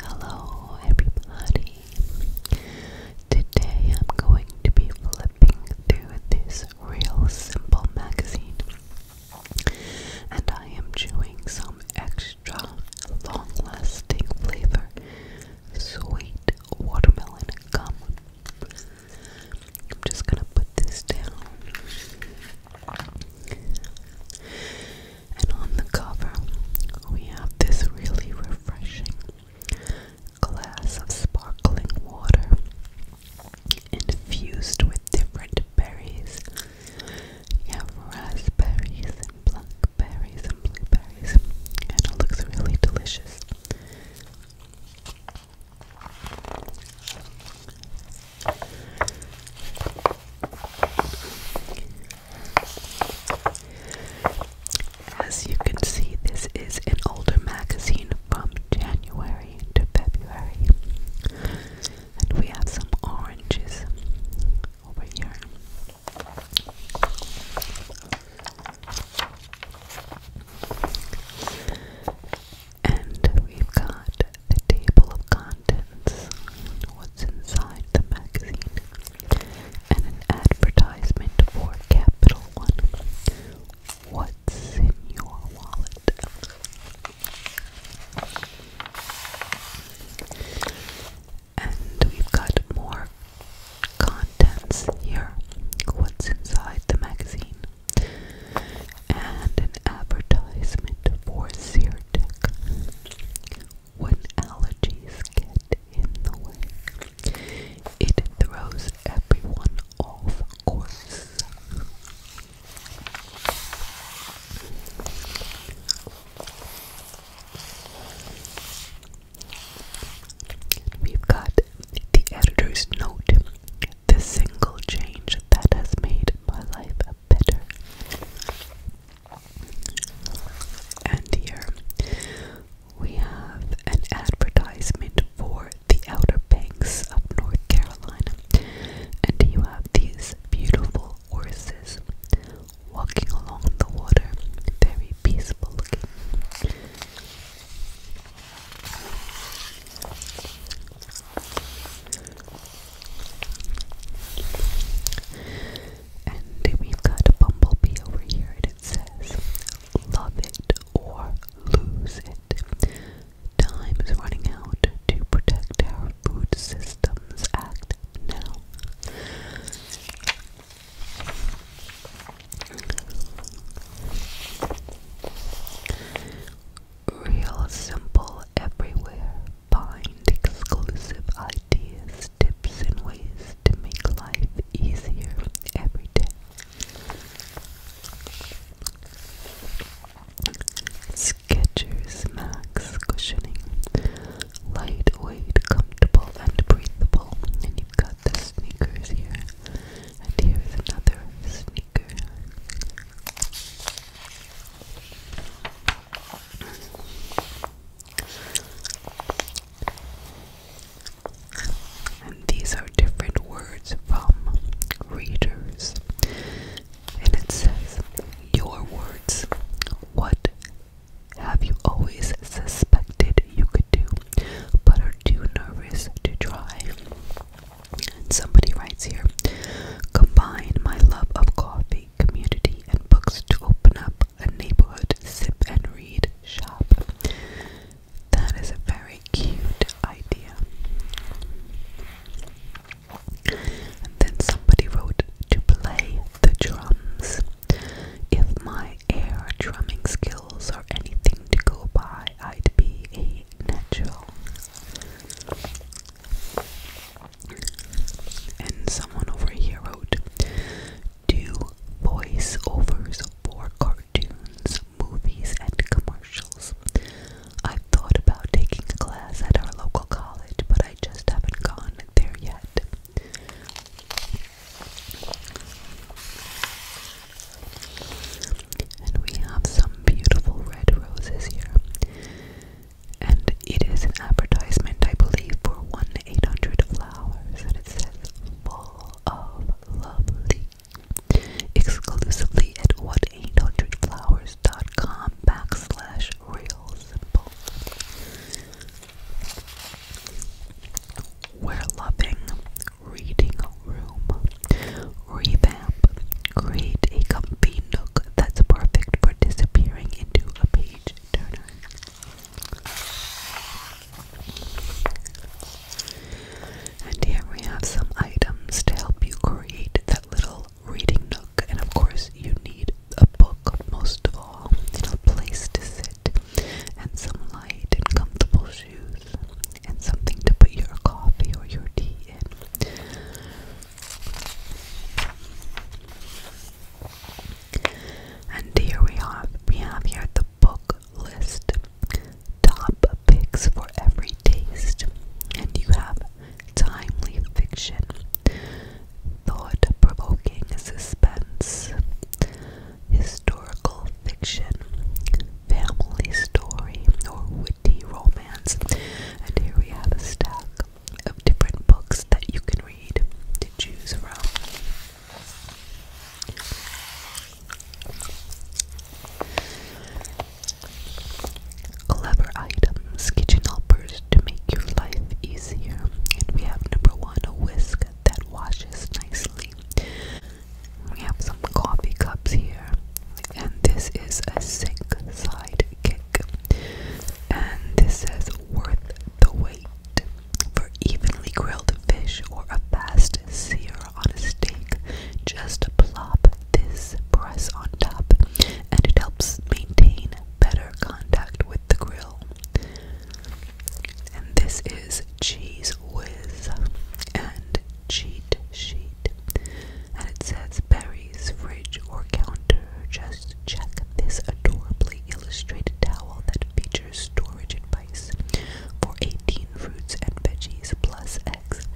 Hello, everybody. Today I'm going to be flipping through this Real Simple magazine, and I am chewing some extra long lasting flavor sweet watermelon gum. I'm just gonna put this down and on the cover, we have this really refreshing glass of sparkling water infused with different berries. You have raspberries and blackberries and blueberries, and it looks really delicious. As you can see, this is an older magazine from January to February. And we have some oranges over here. And we've got the table of contents, what's inside the magazine, and an advertisement for Capital One. What's in your wallet? And we've got more contents here. What's inside the magazine? and an advertisement for Zyrtec when allergies get in the way. It throws everyone off course. We've got the editor's note the single change that has made my life better. And here we have an advertisement for the Outer Banks of North Carolina. And you have these beautiful horses walking along the water, very peaceful looking. And we've got a bumblebee over here, and it says, Love it or lose it. Time is running out to protect our food systems. Act now. Real simple everywhere. Find exclusive ideas, tips, and ways to make life easier every day. Skechers Max Cushioning. Lightweight, comfortable, and breathable. And you've got the sneakers here. And here's another sneaker. And these are different words from readers. And it says, Your words. What have you always suspected you could do, but are too nervous to try? somebody writes here combine my love of coffee, community, and books to open up a neighborhood sip and read shop. That is a very cute idea. And then somebody wrote to play the drums. If my air drumming skills are anything to go by, I'd be a natural. And someone over here wrote, do voiceovers for cartoons, movies, and commercials. I've thought about taking a class at our local college, but I just haven't gone there yet. And we have some beautiful red roses here. And it is an advertisement, I believe, for 1 800 Flowers. And it says, Full of Lovely. Exclusively at 1 800 Flowers.com backslash real simple. We're loving reading room. Revenge. Create a comfy nook that's perfect for disappearing into a page turner. And here we have some items to help you create that little reading nook. And of course, you need a book most of all, and a place to sit, and some light and comfortable shoes, and something to put your coffee or your tea in. And here we have we have here the book list. Top picks for every taste. And you have timely fiction, thought provoking suspense, historical fiction, family story, or witty romance. And here we have a stack of different books that you can read to choose from. Clever items, kitchen helpers to make your life easier. And we have number one, whisk that washes nicely. We have some coffee cups here. And this is a sink side kit and this says worth the wait for evenly grilled fish or a fast sear on a steak. Just plop this press on top, and it helps maintain better contact with the grill. And this is Cheese Whiz and Cheat Sheet and it says Berries, fridge, or counter. Just check this adorably illustrated towel that features storage advice for 18 fruits and veggies plus eggs.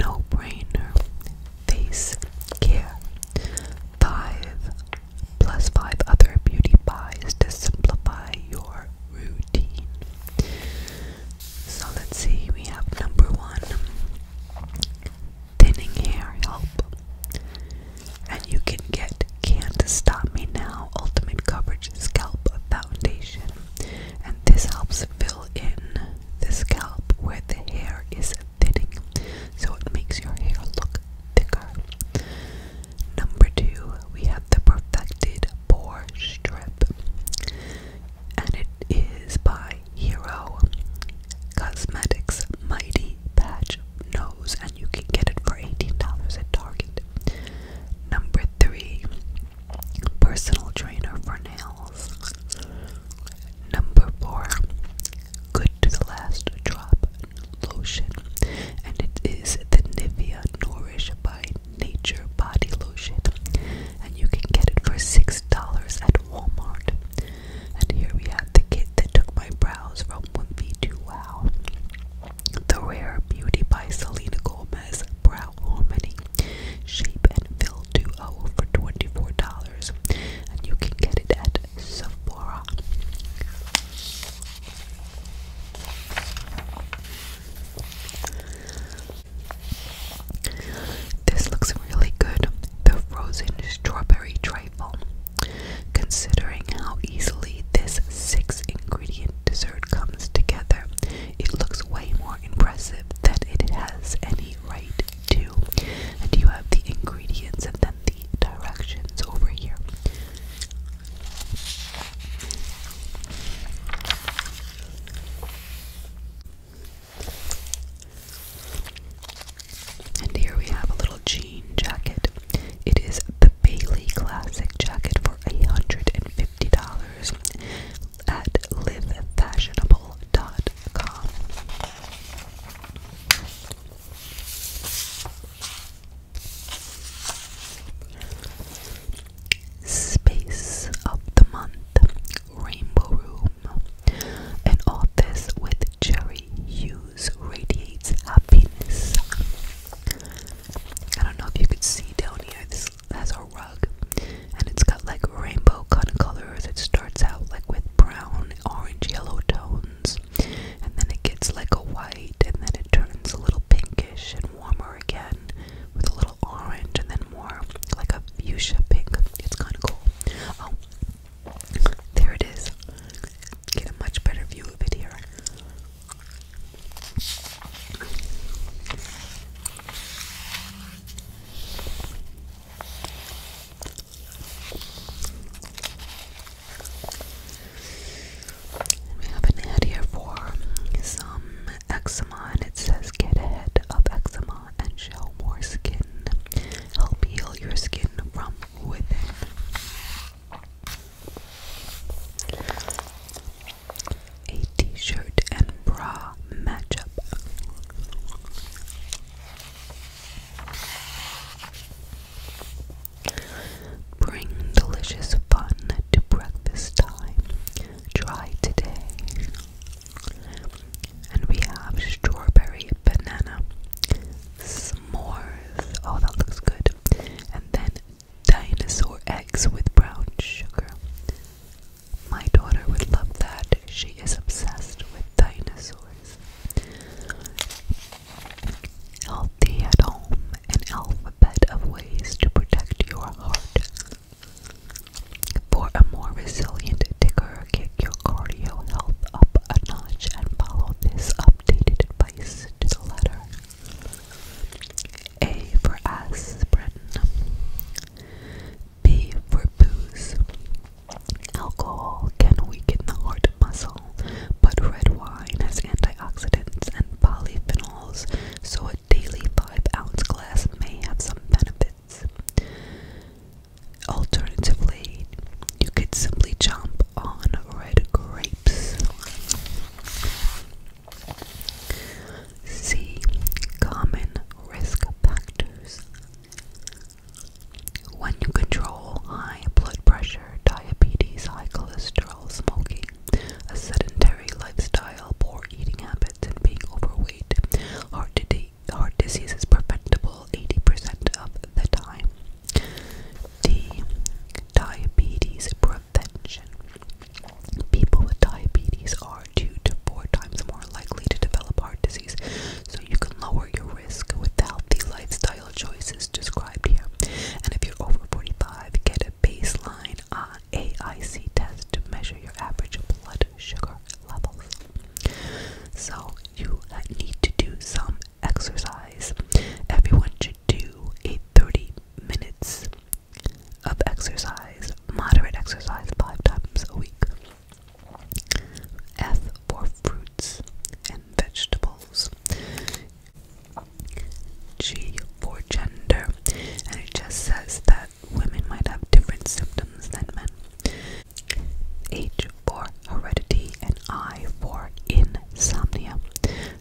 No brainer. Face care. Five plus five other beauty pies to simplify your routine. So let's see, we have number one thinning hair help. And you can get Can't Stop Me Now Ultimate Coverage Scalp Foundation. And this helps fill in the scalp where the hair is thinning. So it makes your hair look thicker. Number two, we have the Perfected Pore Strip, and it is by Hero Cosmetics Mighty Patch Nose, and you can get it for $18 at Target. Number three, Personal Trainer for Nails. Number four, Good to the Last Drop lotion, and it is the Nivea Nourish by Nature Body Lotion, and you can get it for six dollars at Walmart. And here we have the kit that took my brows from wimpy to wow. The Rare Beauty by Selena Gomez Brow Harmony Shape and Fill Duo for $24, and you can get it at Sephora. This looks really good. The frozen strawberry trifle. Considering how easily this six ingredient dessert comes together, it looks way more impressive than it has any right to. And you have the ingredients and then the directions over here. And here we have a little jean jacket. It is the Bailey Classic jacket for $150 at livefashionable.com. Space of the Month Rainbow Room. An office with cherry hues radiates happiness. I don't know if you can see down here, this has a rug and it's got like rainbow kind of colors. It starts out like with brown, orange, yellow tones. And then it gets like a white, and then it turns a little pinkish and warmer again with a little orange, and then more like a fuchsia pink. It's kind of cool. Oh, there it is. Get a much better view of it here. We have an ad here for some eczema, and it says get ahead of eczema and show more skin. Help heal your skin from within. A t-shirt and bra match up. Bring delicious fun to breakfast time. Try today. And we have strawberry banana s'mores. Oh, that looks good. And then dinosaur eggs with brown sugar. My daughter would love that. She is obsessed with dinosaurs. Healthy at home, an alphabet of ways to protect your heart. For a more resilient ticker, kick your cardio health up a notch and follow this updated advice to the letter. A for aspirin, B for booze. Alcohol can weaken the heart muscle but red wine has antioxidants and polyphenols, so a daily 5 ounce glass may have some benefits. Alternatively, you could simply chomp on red grapes. C. Common risk factors. When you control high blood pressure, diabetes, high cholesterol, smoking, a sedentary lifestyle, poor eating habits, and being overweight. Heart, di heart disease is preventable 80% of the time. D. Diabetes prevention. People with diabetes are two to four times more likely to develop heart disease, so you can lower your risk with healthy lifestyle choices described here. And if you're over 45, get a baseline uh, AIC test to measure your average blood sugar levels. So you need to do some exercise. Everyone should do a 30 minutes of exercise, moderate exercise, five times a week. F for fruits and vegetables. G for gender, and it just says that women might have different symptoms than men. H for heredity, and I for insomnia.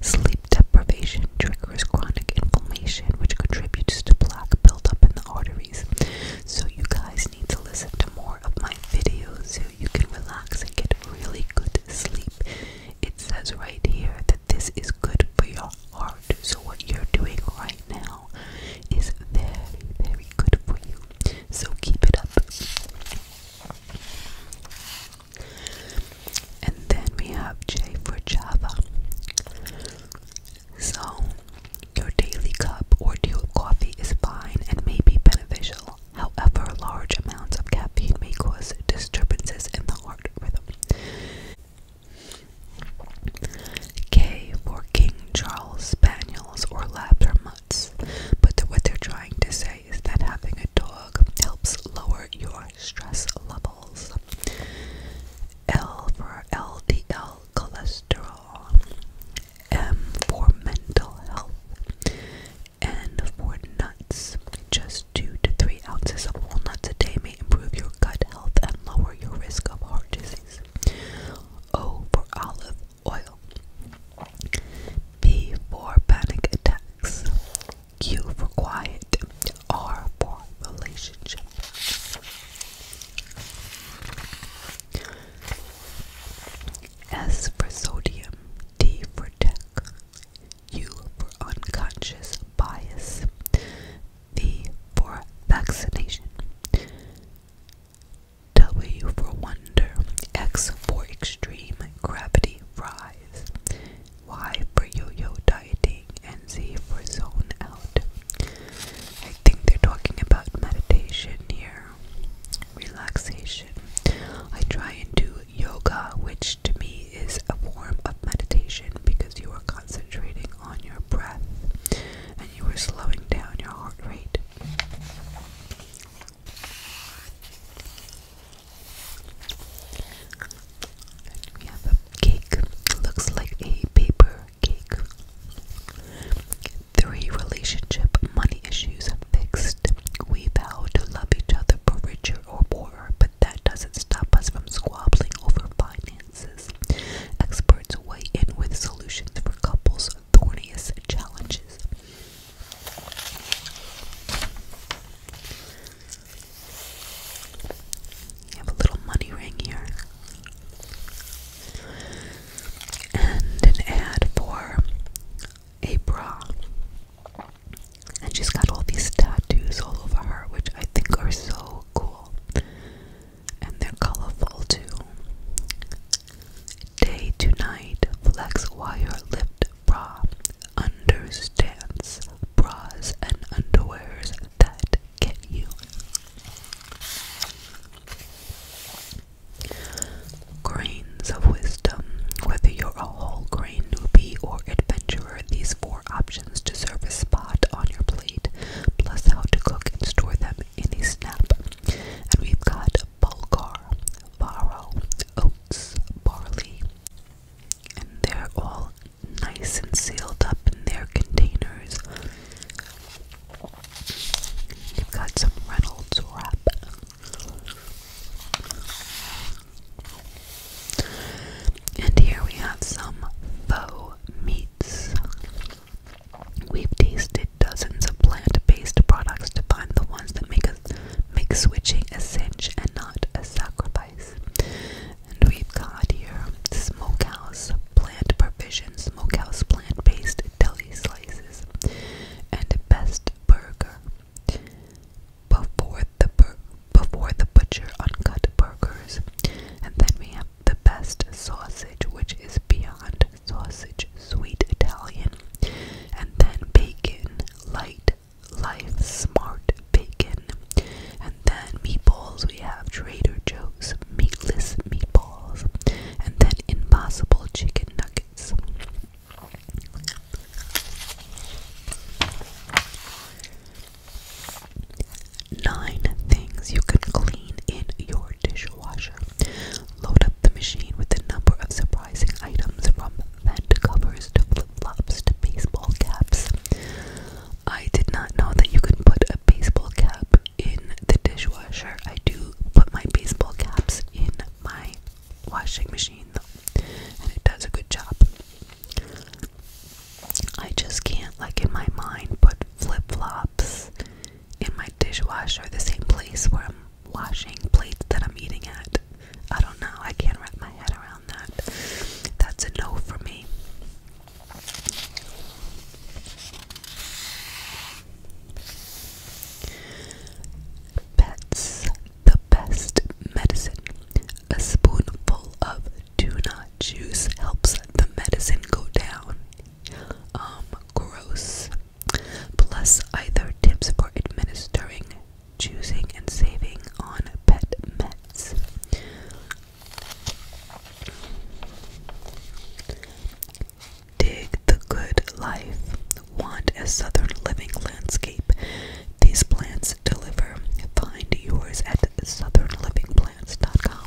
Sleep deprivation triggers chronic inflammation, which contributes to plaque buildup in the arteries. So, you guys need to listen to more of my videos so you can relax and get really good sleep. It says right here that this is good for your heart. So, what you're doing right now is very, very good for you. So, keep it up. And then we have J for Java. So, your daily cup or deal of coffee is fine and may be beneficial. However, large amounts of caffeine may cause disturbances in the heart. K for King Charles Spaniels or Labs or Mutts, but what they're trying to say is that having a dog helps lower your stress levels. L for LDL cholesterol, M for mental health, and for nuts, just two to three ounces of walnuts a day may improve your gut health and lower your risk of heart disease. O for olive oil. P for panic attacks. Q for quiet. R for relationship. S for sodium. D for tech. U for unconscious bias, V for vaccination, W for wonder, X for extreme gravity rise, Y for yo yo dieting, and Z for zone out. I think they're talking about meditation here, relaxation. I try and do yoga, which to me is a form of meditation because you are concentrating on your breath and you are slowing down your heart rate. we have a cake, looks like a paper cake. Three relationship money issues fixed. We vow to love each other for richer or but that doesn't stop us from squabbling over finances. Experts weigh in with solutions for couples' thorniest challenges. You have a little money ring here. And an ad for a bra. And she's got all these tattoos all over her, which I think are so cool. And they're colorful too. Day to night flex wire lift bra understands bras and underwears that get you. Grains of wisdom, whether you're a whole grain newbie or adventurous these four options to serve a spot on your plate, plus how to cook and store them in a snap. And we've got bulgur, farro, oats, barley, and they're all nice and sealed up in their containers. You've got some Reynolds wrap. And here we have some faux meats. We've tasted dozens of plant-based products to find the ones that make us make switching a cinch and not a sacrifice. And we've got here smokehouse plant provisions, smokehouse plant-based deli slices, and best burger before the before the butcher uncut burgers, and then we have the best sausage, which is beyond sausage, sweet Italian, and then bacon, light life, smart bacon, and then meatballs. We have Trader Joe's meatless meatballs, and then impossible chicken nuggets. Nine things you can clean in your dishwasher. Load up the machine with a number of surprising items from vent covers to flip flops to baseball caps. I did not know that you could put a baseball cap in the dishwasher. I do put my baseball caps in my washing machine though, and it does a good job. I just can't, like, in my mind, put flip flops in my dishwasher, the same place where I'm washing plates that I'm eating at. I don't know, I can't wrap my head around that. That's a no for me. Pets, the best medicine. A spoonful of tuna juice helps the medicine go down. Um, gross. Plus, either tips for administering, choosing, and saving on pet meds. Dig the good life. Want a southern living landscape. These plants deliver. Find yours at southernlivingplants.com.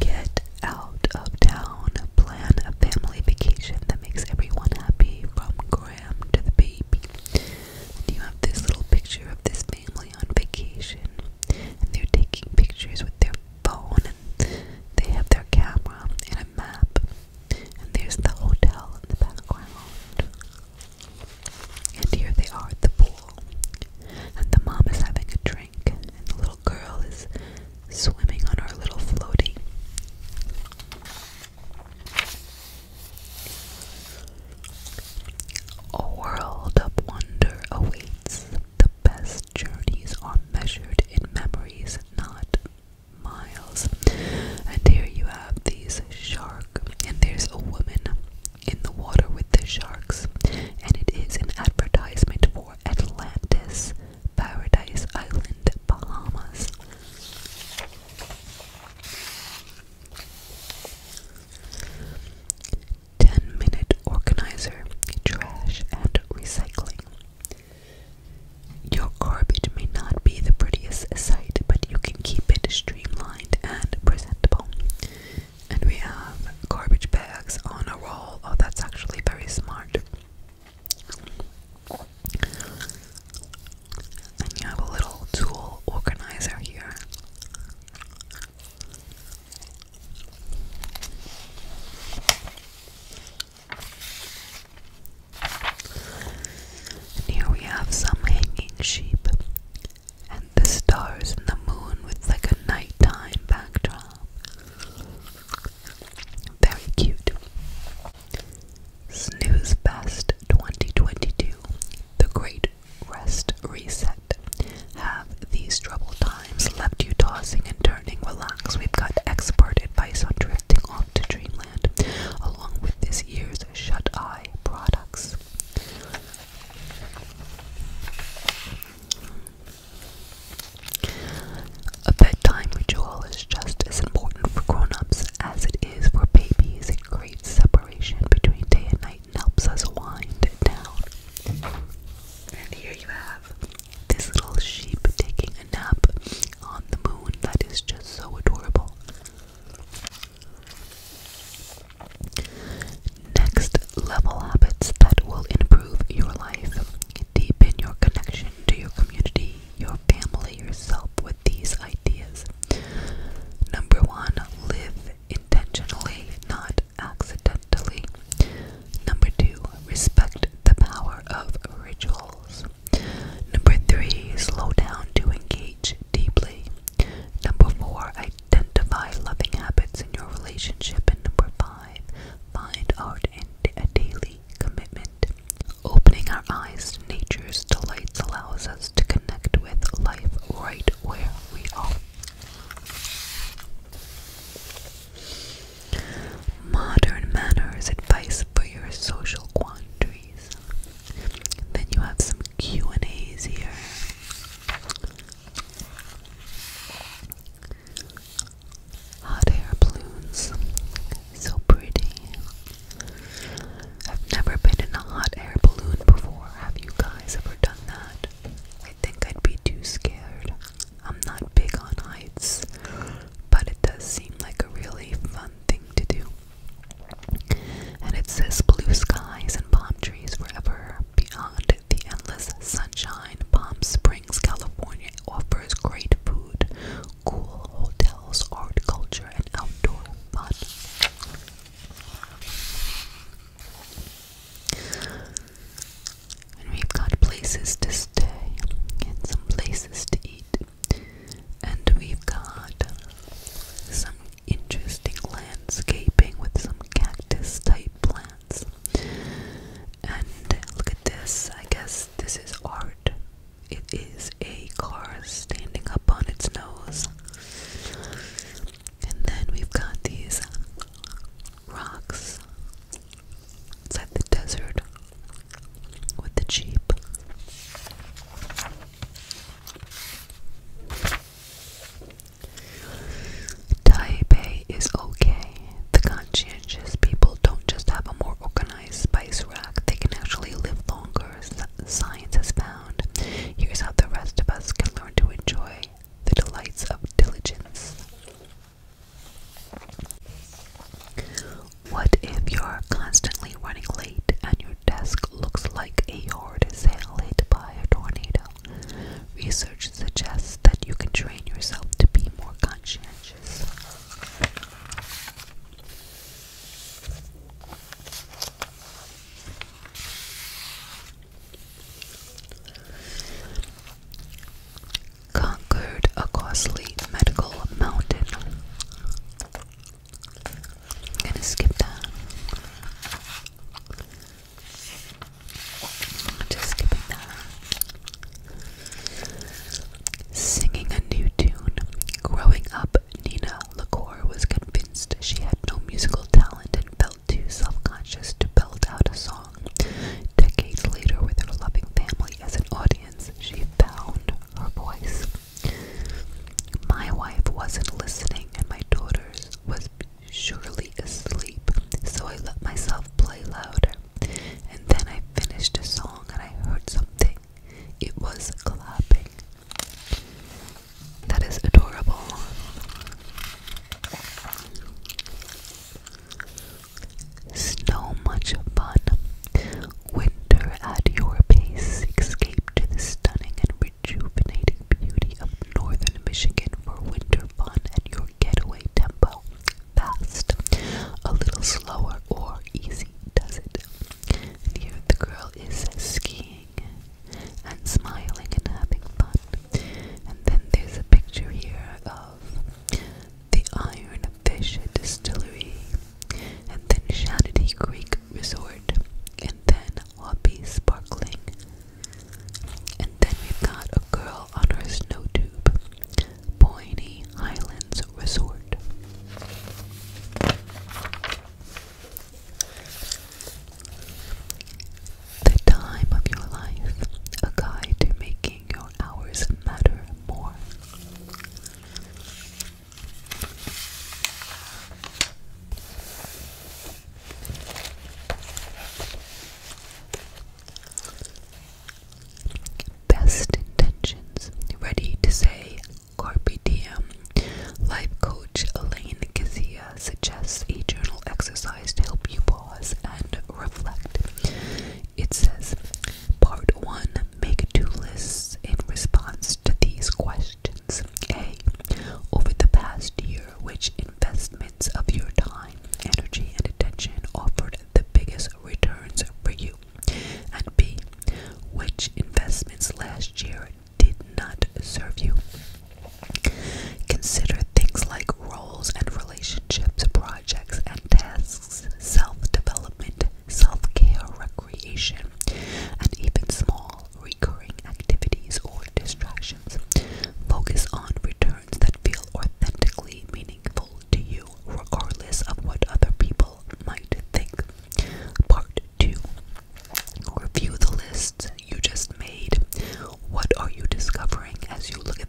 Get out of town. Plan a family vacation that makes everyone happy from Graham to the baby. And you have this little picture of this family on vacation. And they're taking pictures with their phone they have their camera and a map, and there's the hotel in the background. And here they are at the pool, and the mom is having a drink, and the little girl is swimming on her little floaty. A world of wonder awaits the best journeys are measured in memories, not miles. And here you have these sharks, and there's a woman in the water with the sharks, and it is an advertisement for Atlantis, Paradise Island, Bahamas. Ten minute organizer, trash and recycling. Your garbage may not be the prettiest sight, but you can keep it streamlined and presentable. And we have garbage bags on a roll. Oh, that's actually very smart. And you have a little tool organizer here. And here we have some hanging sheep and the stars and the moon with like a nighttime backdrop. Very cute. Snooze Fest 2022. The Great Rest Reset. Have these trouble times left you tossing and turning. Relax, we've got expert advice on drifting off to dreamland, along with this year's shut eye products. A bedtime ritual is just as important for grown ups as it is for babies. It creates separation between day and night and helps us wind down. And here you have this little sheep taking a nap on the moon that is just so adorable. Next level habits that will improve your life. Deepen your connection to your community, your family, yourself with these ideas. Number one, live intentionally, not accidentally. Number two, respect the power of rituals. Number three, slow down to engage deeply. Number four, identify loving habits in your relationship. And number five, find art in a daily commitment. Opening our eyes to nature's delights allows us to connect with life right where we are. Modern manners advice for your social quandaries. Then you have some Q and A's here. Hot air balloons, so pretty. I've never been in a hot air balloon before. Have you guys ever done that? I think I'd be too scared. I'm not big on heights but it does seem like a really fun thing to do. And it says blue skies and palm trees forever beyond the endless sunshine. Palm Springs, California offers great food, cool hotels, art, culture, and outdoor fun. And we've got places to stay and some places to eat. And we've got some interesting landscaping with some cactus type plants. And look at this. I guess this is art. It is a car standing up on its nose. And then we've got these rocks. It's the desert with the Jeep. Taipei is okay. The conscientious people don't just have a more organized spice rack, they can actually live longer, science has found. Here's how the rest of us can learn to enjoy the delights of diligence. What if you're constantly running late and your desk looks like a yard sale by a tornado? Research suggests that you can train yourself to be more conscientious conquered a costly medical mountain. gonna skip that. just skipping that. Singing a new tune. Growing up, Nina LaCour was convinced she had no musical talent and felt too self conscious to belt out a song. Decades later, with her loving family as an audience, she found her voice. My wife wasn't listening, and my daughters was surely asleep, so I let myself play louder. And then I finished a song and I heard something. It was clapping. That is adorable. So much fun. Winter at your pace. Escape to the stunning and rejuvenating beauty of northern Michigan for winter fun at your getaway tempo. Fast, a little slower, or easy does it. Here the girl is skiing and smiling and having fun. And then there's a picture here of the Iron Fish Distillery, and then Shanity Creek Resort, and then Wabi Sparkling. And then we've got a girl on her snow tube, Pointy Islands Resort. The time of your life, a guide to making your hours matter more. Best intentions, ready to say carpe diem. Life coach Elaine Kizia suggests a journal exercise to help you pause and reflect. It says, Part 1 Make two lists in response to these questions. A. Over the past year, which investments of your time, energy, and attention offered the biggest returns for you? And B. Which investments last year did not serve you? Consider things like roles and relationships, projects and tasks self-development, self-care, recreation, and even small recurring activities or distractions. Focus on returns that feel authentically meaningful to you, regardless of what other people might think. Part 2 Review the list you just made. What are you discovering as you look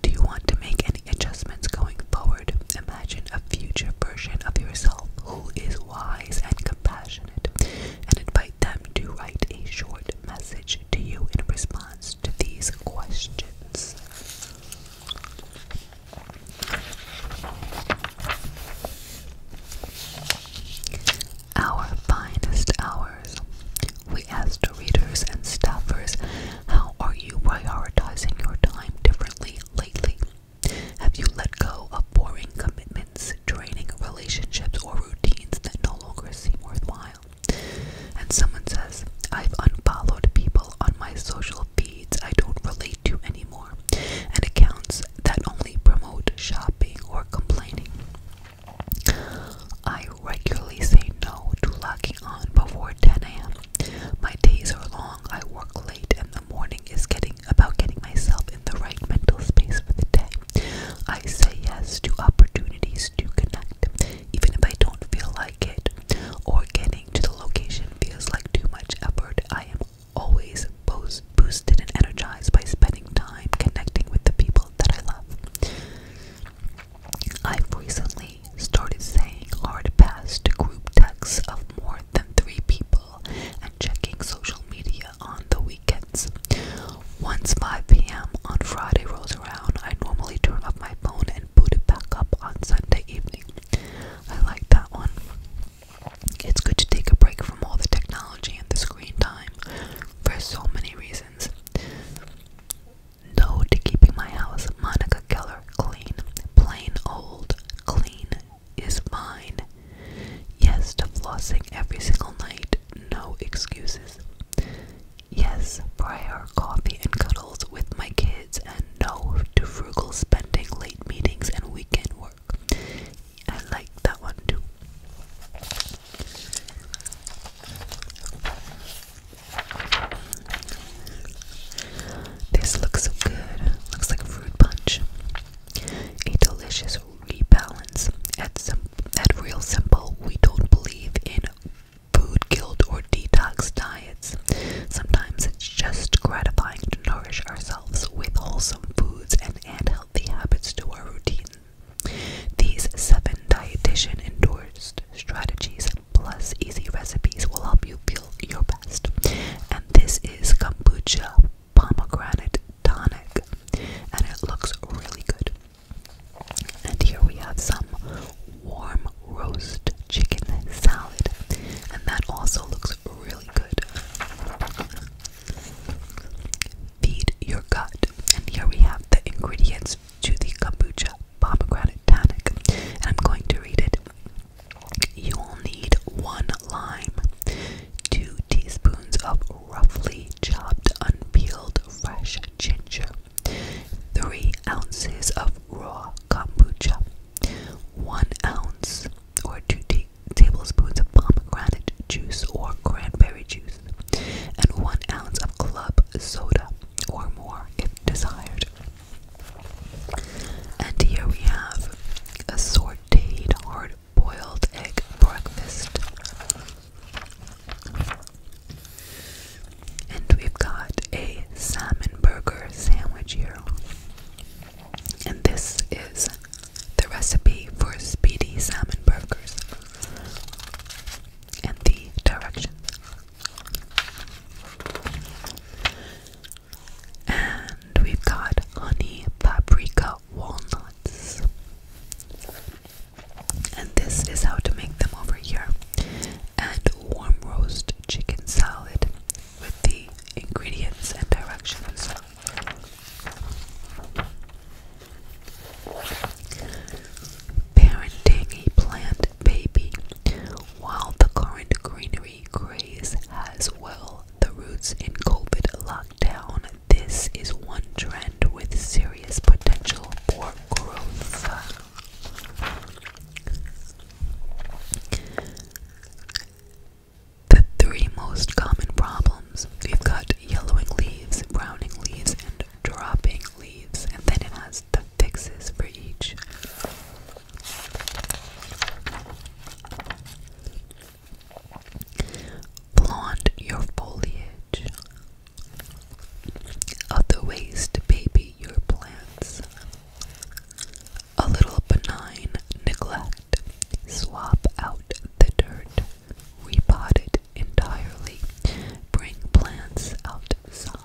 do you want to make any adjustments going forward? Imagine a future version of yourself who is wise and compassionate, and invite them to write a short message to you in response to these questions. Our finest hours we to readers and staffers, How are you prioritizing your time differently lately? Have you let go of boring commitments, draining relationships, or routines that no longer seem worthwhile? And someone says, I've unfollowed people on my social feeds I don't relate to anymore, and accounts that only promote shopping or complaining. I regularly say no to locking before 10 a.m. My days are long. I work late, and the morning is getting about getting myself in the right mental space for the day. I say yes to opportunities to connect, even if I don't feel like it, or getting to the location feels like too much effort. I am always both boosted and energized by spending time connecting with the people that I love. I've recently started saying hard pass to group texts of more than three people and checking social media on the weekends. Once 5 p.m. on Friday rolls around, I normally turn off my phone and boot it back up on Sunday evening. I like that one. It's good to take a break from all the technology and the screen time for so many reasons. No to keeping my house, Monica Keller, clean. Plain old, clean is fine. Yes to flossing every single night, no excuses. Yes, prior coffee and cuddles with my kids, and no to frugal spending, late meetings, and weekend work. I like that one too. This looks so good. Looks like fruit punch. A delicious rebalance. At real simple, we don't believe in food guilt or detox diets. Sometimes it's just gratifying to nourish ourselves with wholesome foods and add healthy habits to our routine. These seven dietitian endorsed strategies plus easy recipes will help you feel your best. And this is kombucha pomegranate tonic, and it looks really good. And here we have some warm roast chicken salad, and that also looks really good. Feed your gut, and here we have the ingredients to the kombucha pomegranate tonic, and I'm going to read it. You will need one lime, two teaspoons of roughly chopped unpeeled fresh ginger, three ounces of raw kombucha, one ounce or two tablespoons of pomegranate juice or cranberry juice, and one ounce of club soda or more if desired. And here we have a sauteed hard boiled egg breakfast. And we've got a salmon burger sandwich here. And this is the recipe for speedy salmon burgers and the directions. And we've got honey paprika walnuts. And this is how to make them over here. And warm roast chicken salad with the ingredients and directions. Parenting a plant baby. While the current greenery craze has well the roots in COVID lockdown, this is one trend with serious potential for growth. The three most common problems we've got yellowing leaves, browning leaves, and dropping leaves, and then it has the fixes for each. Blonde your foliage. Of the ways to baby your plants. A little benign neglect. Swap out the dirt. Repot entirely. Bring plants outside.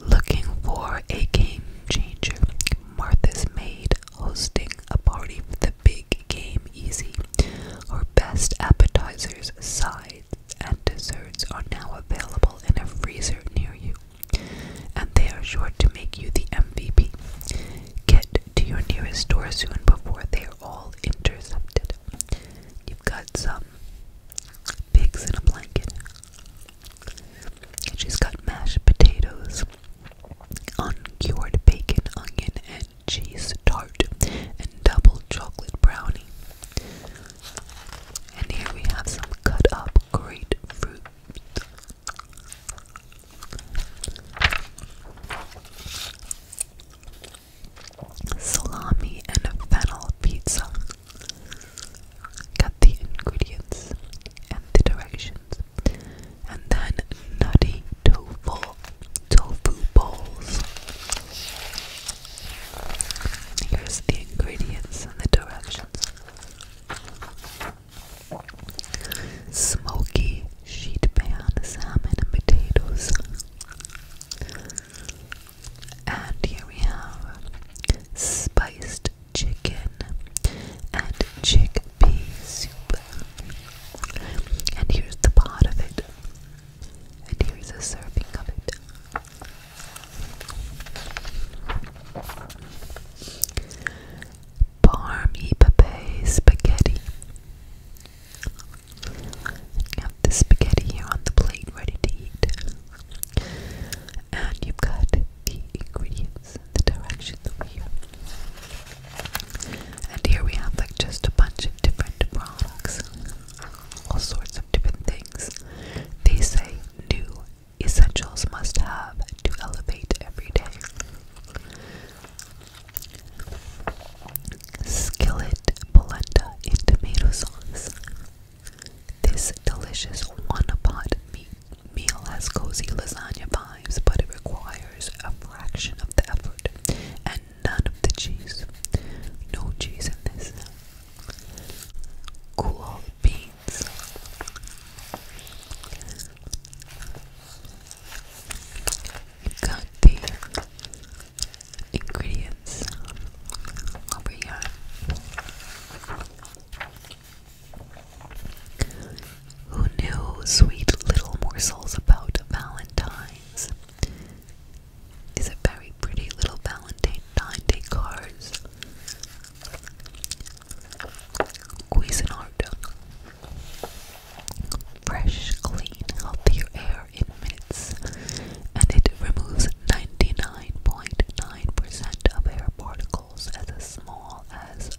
Looking for a game changer, Martha's maid hosting a party for the big game easy. Her best appetizers, sides, and desserts are now available in a freezer near you, and they are sure to make you the MVP. Get to your nearest store soon before they are all intercepted. You've got some pigs in a blanket. And she's got mashed potatoes, uncured bacon, onion, and cheese tart, and double chocolate brownie. And here we have some cut up grapefruit. Salami and fennel pizza. Get the ingredients and the directions. And then nutty tofu tofu bowls. Here's the ingredients and the directions. Smoky sheet pan salmon and potatoes. And here we have spiced chicken and chickpea soup. And here's the pot of it. And here's a serving of it. Parmy Pepe spaghetti. You have the spaghetti here on the plate ready to eat. And you've got the ingredients, the directions here. And here we have like just a bunch of different products. All sorts of different things. They say new essentials must have to elevate every day. Skillet polenta in tomato sauce. This delicious one-pot meal has cozy lasagna vibes, but it requires a fraction of the effort and none of the cheese. No cheese in this. Cool beans got the ingredients over here. Who knew sweet little morsels about Valentine's? Is it very pretty little Valentine Day cards? Cuisinart Fresh, clean, healthier air in minutes, and it removes 99.9% of air particles as small as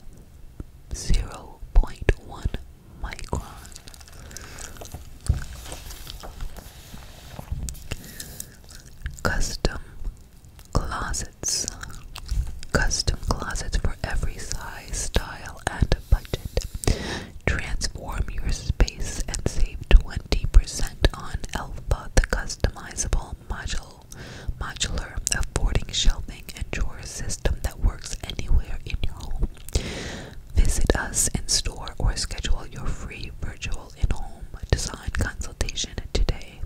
0.1 micron. Custom closets. Custom closets for every size, style, style and budget. Transform your space and save 20% on Alpha, the customizable modular, modular affording shelving and drawer system that works anywhere in your home. Visit us in store or schedule your free virtual in-home design consultation today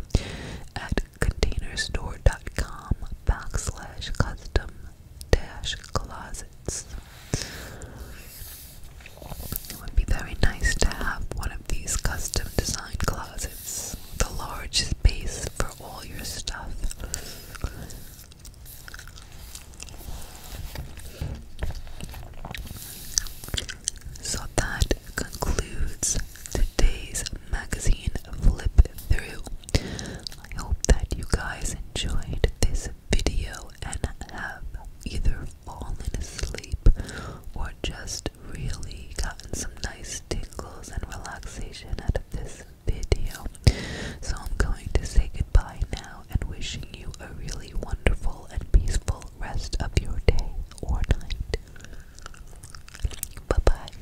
at containerstore.com custom dash closets. It would be very nice to have one of these custom designed closets with large space for all your stuff. So that concludes today's magazine flip through. I hope that you guys enjoyed this video and have either fallen asleep or just really gotten some nice tingles and relaxation out of this video. So I'm going to say goodbye now and wishing you a really wonderful and peaceful rest of your day or night. Bye bye.